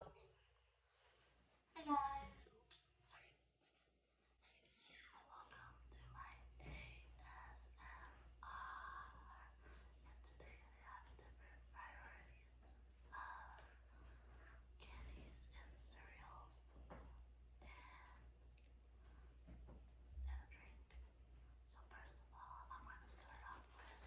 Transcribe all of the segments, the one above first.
Hi guys, Yes, welcome to my ASMR. And today I have different varieties of candies and cereals and a drink. So first of all, I'm going to start off with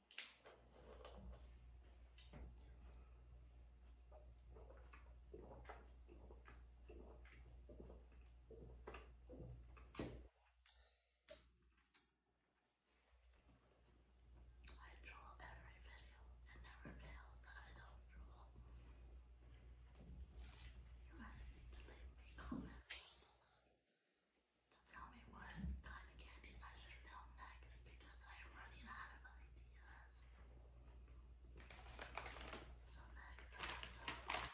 I draw every video and never fails that I don't draw. You guys leave me comments below to tell me me what kind of candies I should film next because I am running out of ideas. So next I have some this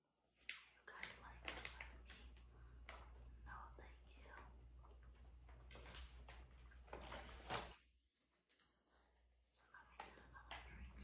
you guys like that for me? No, oh, thank you. So let me get another drink.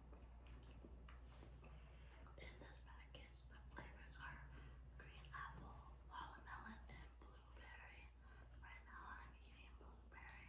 In this package, the flavors are green apple, watermelon, and blueberry. Right now, I'm eating blueberry.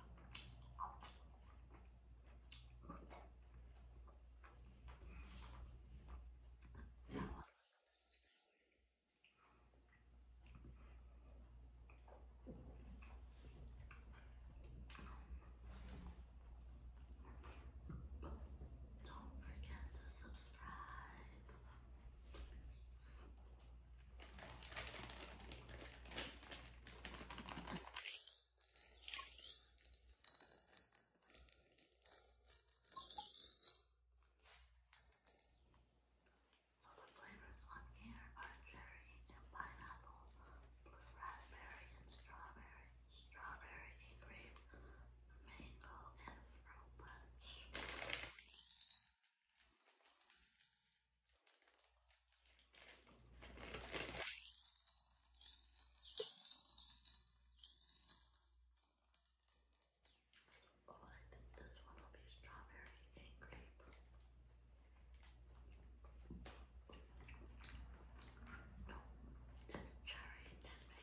Don't forget to subscribe. So the flavors on here are cherry and pineapple, blue raspberry and strawberry, strawberry and grape, mango and fruit punch. Oh, I think this one will be strawberry and grape. No, it's cherry and mango.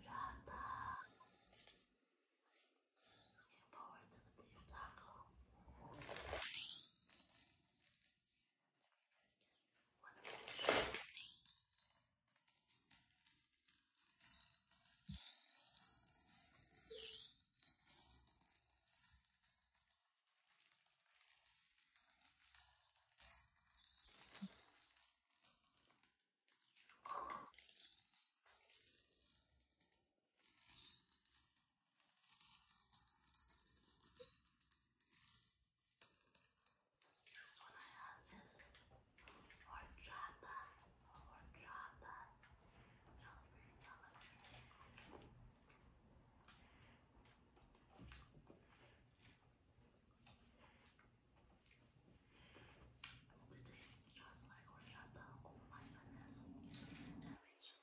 Yarda. Looking forward to the beef taco. This one I have is horchata, horchata, celebrate, celebrate. With this, just like horchata or mindfulness, is the direction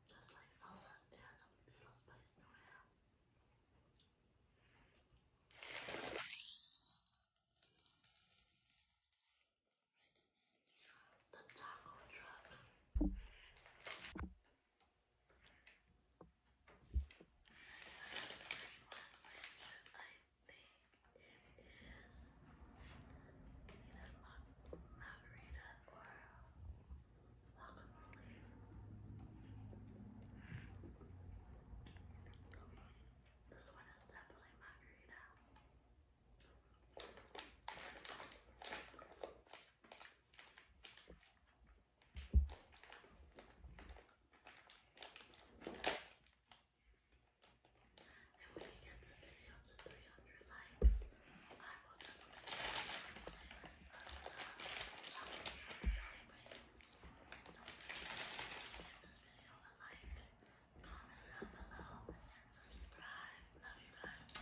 Just like salsa, it has a little spice to it. The taco truck. Either margarita This one is definitely margarita. And when we get this video to 300 likes, I will definitely make flavors of the chocolate Don't forget to give this video a like, comment down below, and subscribe. Love you guys.